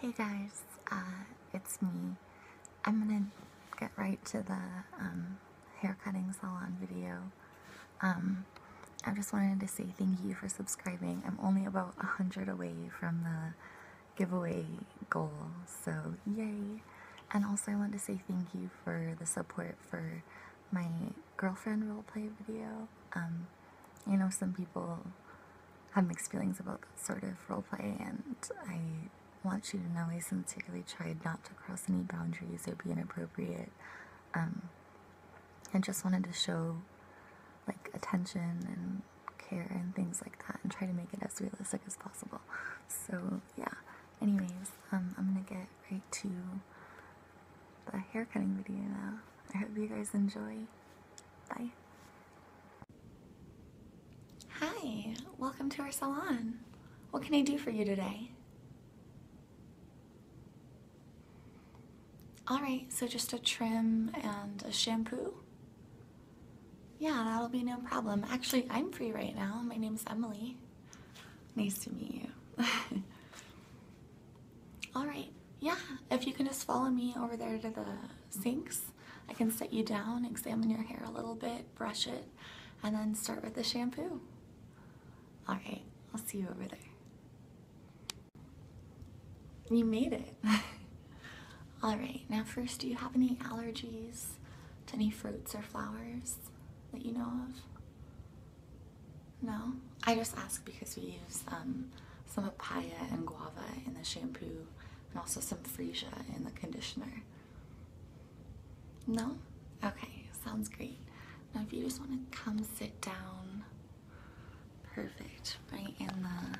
Hey guys, uh, it's me. I'm gonna get right to the um, hair cutting salon video. Um, I just wanted to say thank you for subscribing. I'm only about 100 away from the giveaway goal, so yay! And also I want to say thank you for the support for my girlfriend roleplay video. Um, you know, some people have mixed feelings about that sort of roleplay, and I want you to know I sincerely tried not to cross any boundaries or be inappropriate. Um, and just wanted to show like attention and care and things like that and try to make it as realistic as possible. So, yeah. Anyways, um, I'm gonna get right to the hair cutting video now. I hope you guys enjoy. Bye. Hi, welcome to our salon. What can I do for you today? All right, so just a trim and a shampoo? Yeah, that'll be no problem. Actually, I'm free right now. My name is Emily. Nice to meet you. Alright, yeah, if you can just follow me over there to the sinks, I can set you down, examine your hair a little bit, brush it, and then start with the shampoo. Alright, I'll see you over there. You made it. Alright, now first, do you have any allergies to any fruits or flowers that you know of? No? I just ask because we use um, some papaya and guava in the shampoo, and also some freesia in the conditioner. No? Okay, sounds great. Now, if you just want to come sit down, perfect, right in the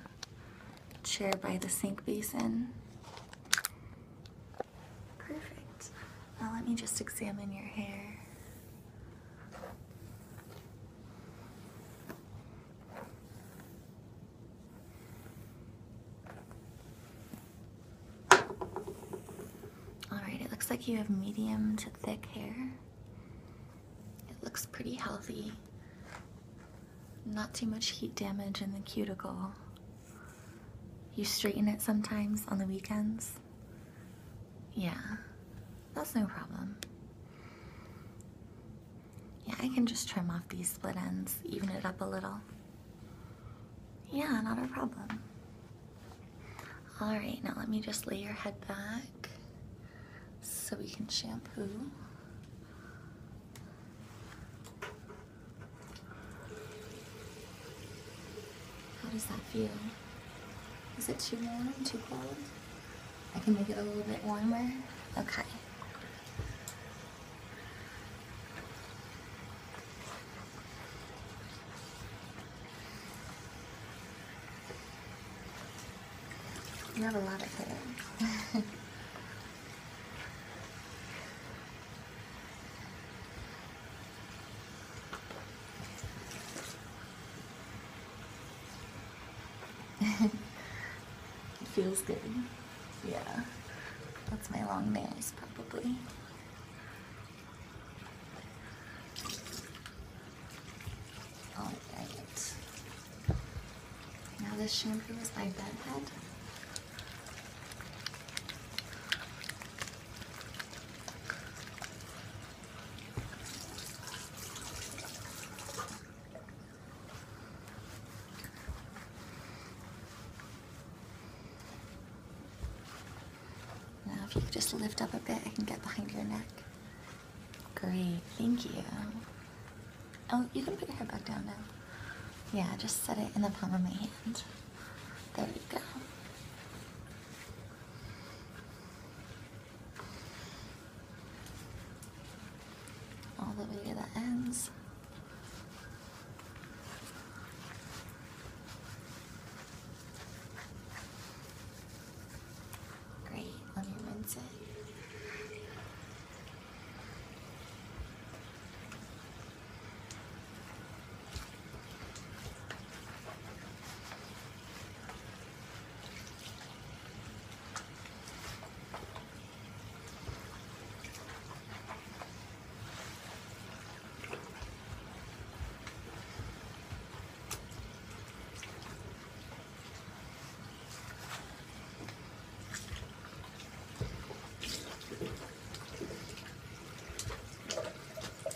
chair by the sink basin. Perfect. Now, let me just examine your hair. Alright, it looks like you have medium to thick hair. It looks pretty healthy. Not too much heat damage in the cuticle. You straighten it sometimes on the weekends? Yeah. That's no problem. Yeah, I can just trim off these split ends, even it up a little. Yeah, not a problem. Alright, now let me just lay your head back so we can shampoo. How does that feel? Is it too warm, too cold? I can make it a little bit warmer. Okay. You a lot of hair. it feels good. Yeah. That's my long nails, probably. Oh, Now this shampoo is my bedhead. Now, if you just lift up a bit, I can get behind your neck. Great, thank you. Oh, you can put your head back down now. Yeah, just set it in the palm of my hand. There you go all the way to the ends. Great, let me rinse it.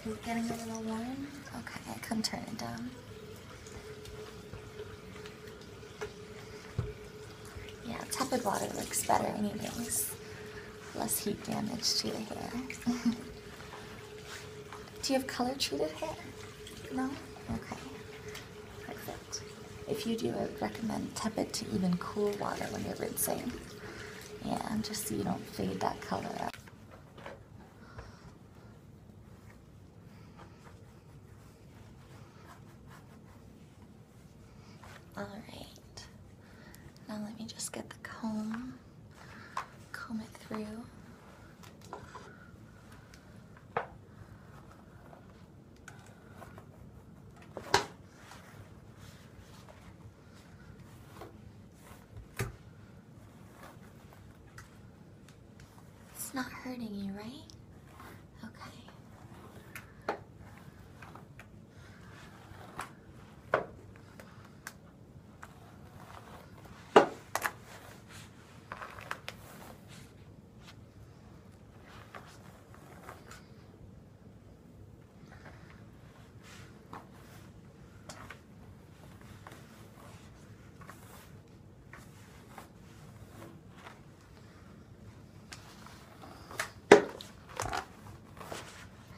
You're getting a little warm? Okay, come turn it down. Yeah, tepid water looks better anyways. Less heat damage to your hair. Do you have color treated hair? No? Okay. Perfect. If you do, I would recommend tepid to even cool water when you're rinsing. Yeah, just so you don't fade that color out. All right. Now let me just get the comb, comb it through. It's not hurting you, right? Okay.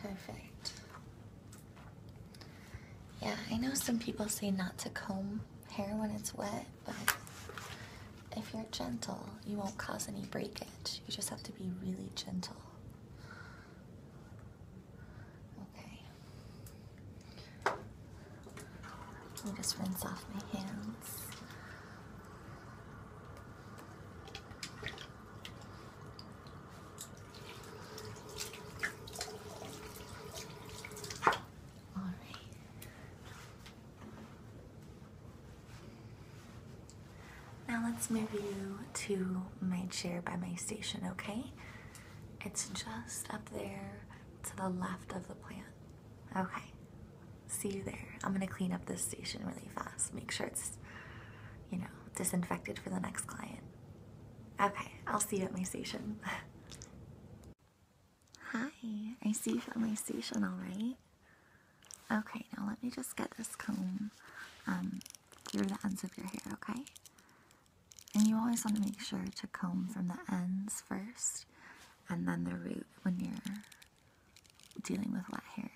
Perfect. Yeah, I know some people say not to comb hair when it's wet, but if you're gentle, you won't cause any breakage. You just have to be really gentle. Okay. Let me just rinse off my hands. All right. Now let's move you to my chair by my station, okay? It's just up there to the left of the plant. Okay, see you there. I'm gonna clean up this station really fast, make sure it's, you know, disinfected for the next client. Okay, I'll see you at my station. Hi, I see you at my station, all right? Okay, now let me just get this comb um, through the ends of your hair, okay? And you always want to make sure to comb from the ends first and then the root when you're dealing with wet hair.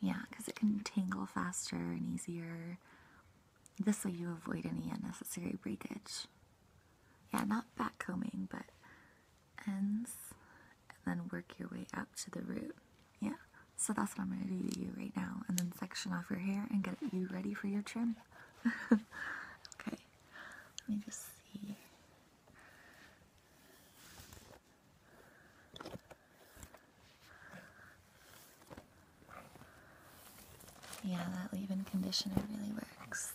Yeah, because it can tangle faster and easier. This way you avoid any unnecessary breakage. Yeah, not backcombing, but ends and then work your way up to the root. Yeah, so that's what I'm going to do to you right now. And then section off your hair and get you ready for your trim. okay, let me just see. Yeah, that leave-in conditioner really works.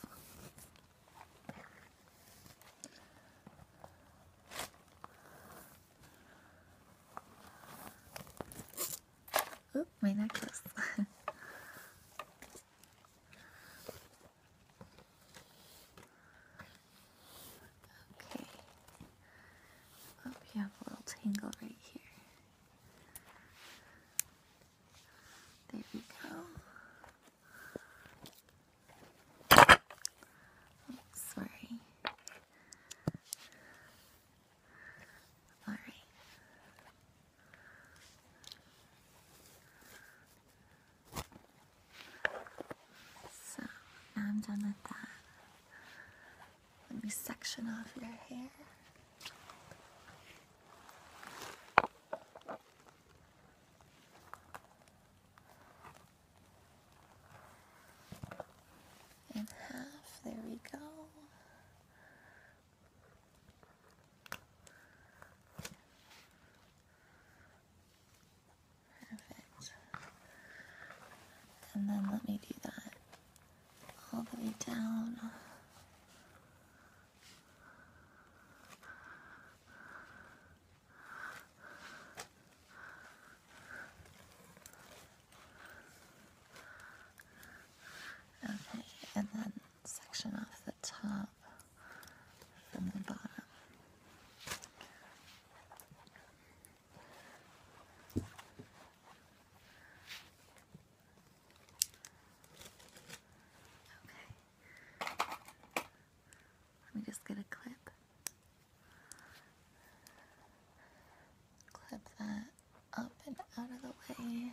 Oop, my necklace. okay. Oh, we have a little tangle right here. There we go. sorry. All right. So now I'm done with that. Let me section off your hair. In half, there we go. Perfect. And then let me do that all the way down. Okay, and then section off the top from the bottom. Okay. Let me just get a clip. Clip that up and out of the way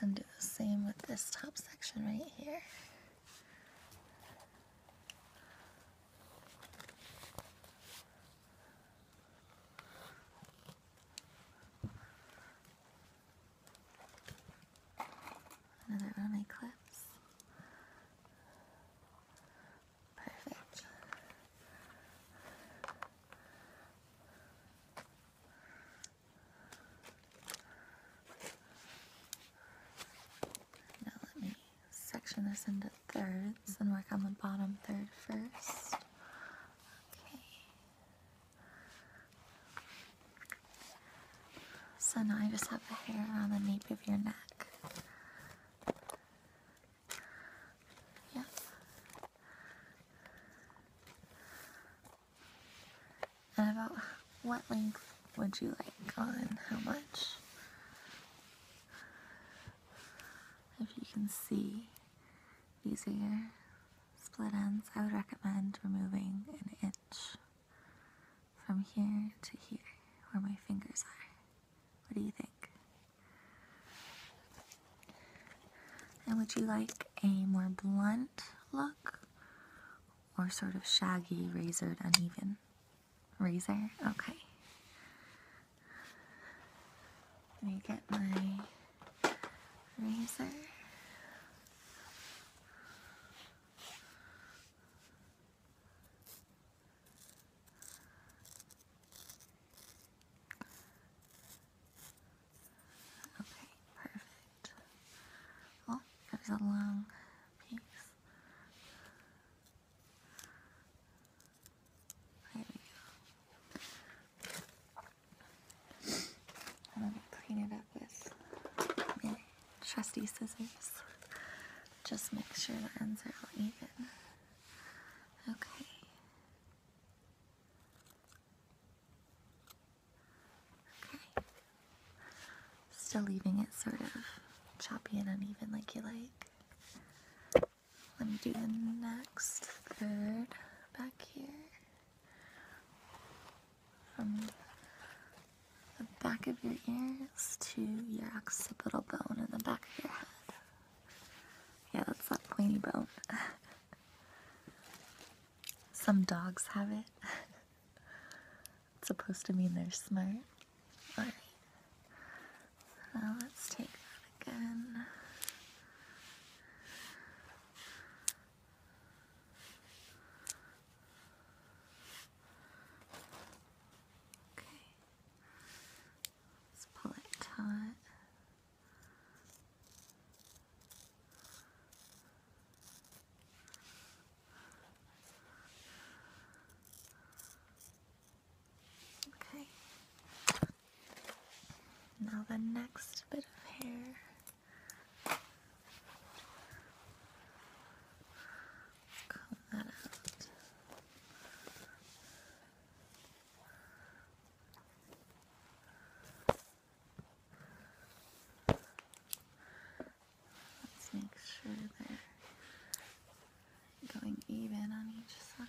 and do the same with this top section right here. Another one my clips. Perfect. Now let me section this into thirds and work on the bottom third first. Okay. So now I just have the hair on the nape of your neck. Yeah. And about what length would you like on how much? If you can see these are split ends, I would recommend removing an inch from here to here where my fingers are. What do you think? And would you like a more blunt look or sort of shaggy, razored, uneven? Razor? Okay. Let me get my razor. Okay, perfect. Well, it was a long piece. There we go. I'm clean it up with my trusty scissors. Just make sure the ends are all even. Okay. Okay. Still leaving it sort of choppy and uneven like you like. Let me do the next third back here. From the back of your ears to your occipital bone in the back of your head. Yeah, that's not pointy bone. Some dogs have it. it's supposed to mean they're smart. Alright. Well, let's take that again. Okay. Let's pull it taut. Okay. Now the next bit of hair. Comb that out. Let's make sure they're going even on each side.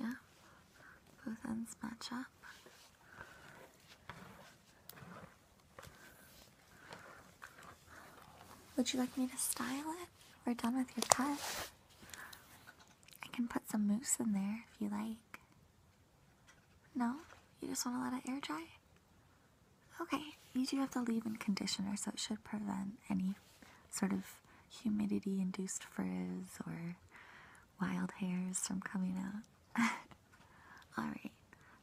Yeah, both ends match up. Would you like me to style it? We're done with your cut. I can put some mousse in there if you like. No? You just want to let it air dry? Okay, you do have the leave in conditioner, so it should prevent any sort of humidity induced frizz or wild hairs from coming out. Alright,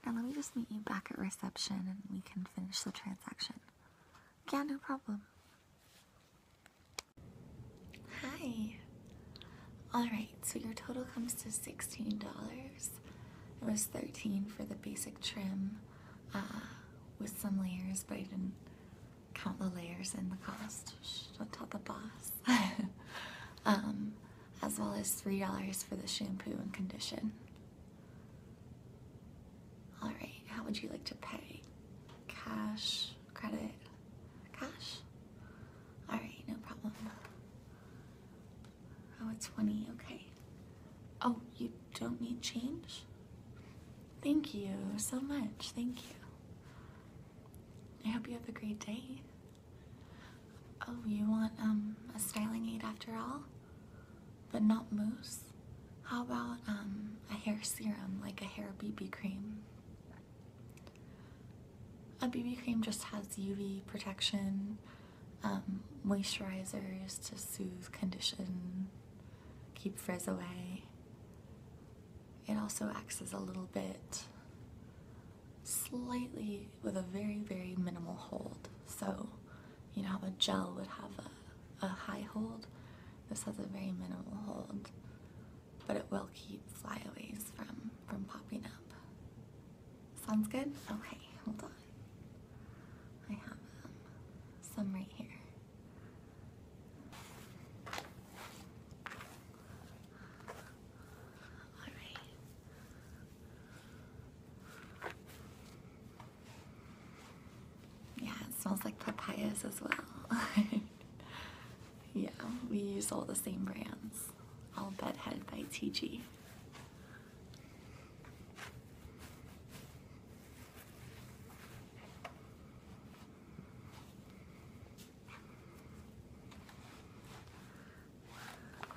now let me just meet you back at reception and we can finish the transaction. Yeah, no problem. Hi. Alright, so your total comes to $16. It was 13 for the basic trim uh, with some layers, but I didn't count the layers and the cost. don't tell the boss. um, as well as $3 for the shampoo and condition. Alright, how would you like to pay? Cash, credit, cash? Alright, no problem. Oh, it's 20, okay. Oh, you don't need change? Thank you so much, thank you. I hope you have a great day. Oh, you want um, a styling aid after all? But not mousse? How about um, a hair serum, like a hair BB cream? A BB cream just has UV protection um, moisturizers to soothe, condition, keep frizz away. It also acts as a little bit slightly with a very, very minimal hold. So, you know how a gel would have a high hold? This has a very minimal hold, but it will keep flyaways from, from popping up. Sounds good? Okay, hold on. I have um, some right here. All right. Yeah, it smells like papayas as well. yeah, we use all the same brands. All Bedhead by TG.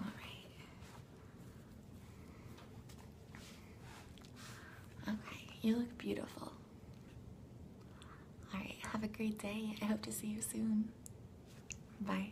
All right. Okay, you look beautiful. All right, have a great day. I hope to see you soon. Bye.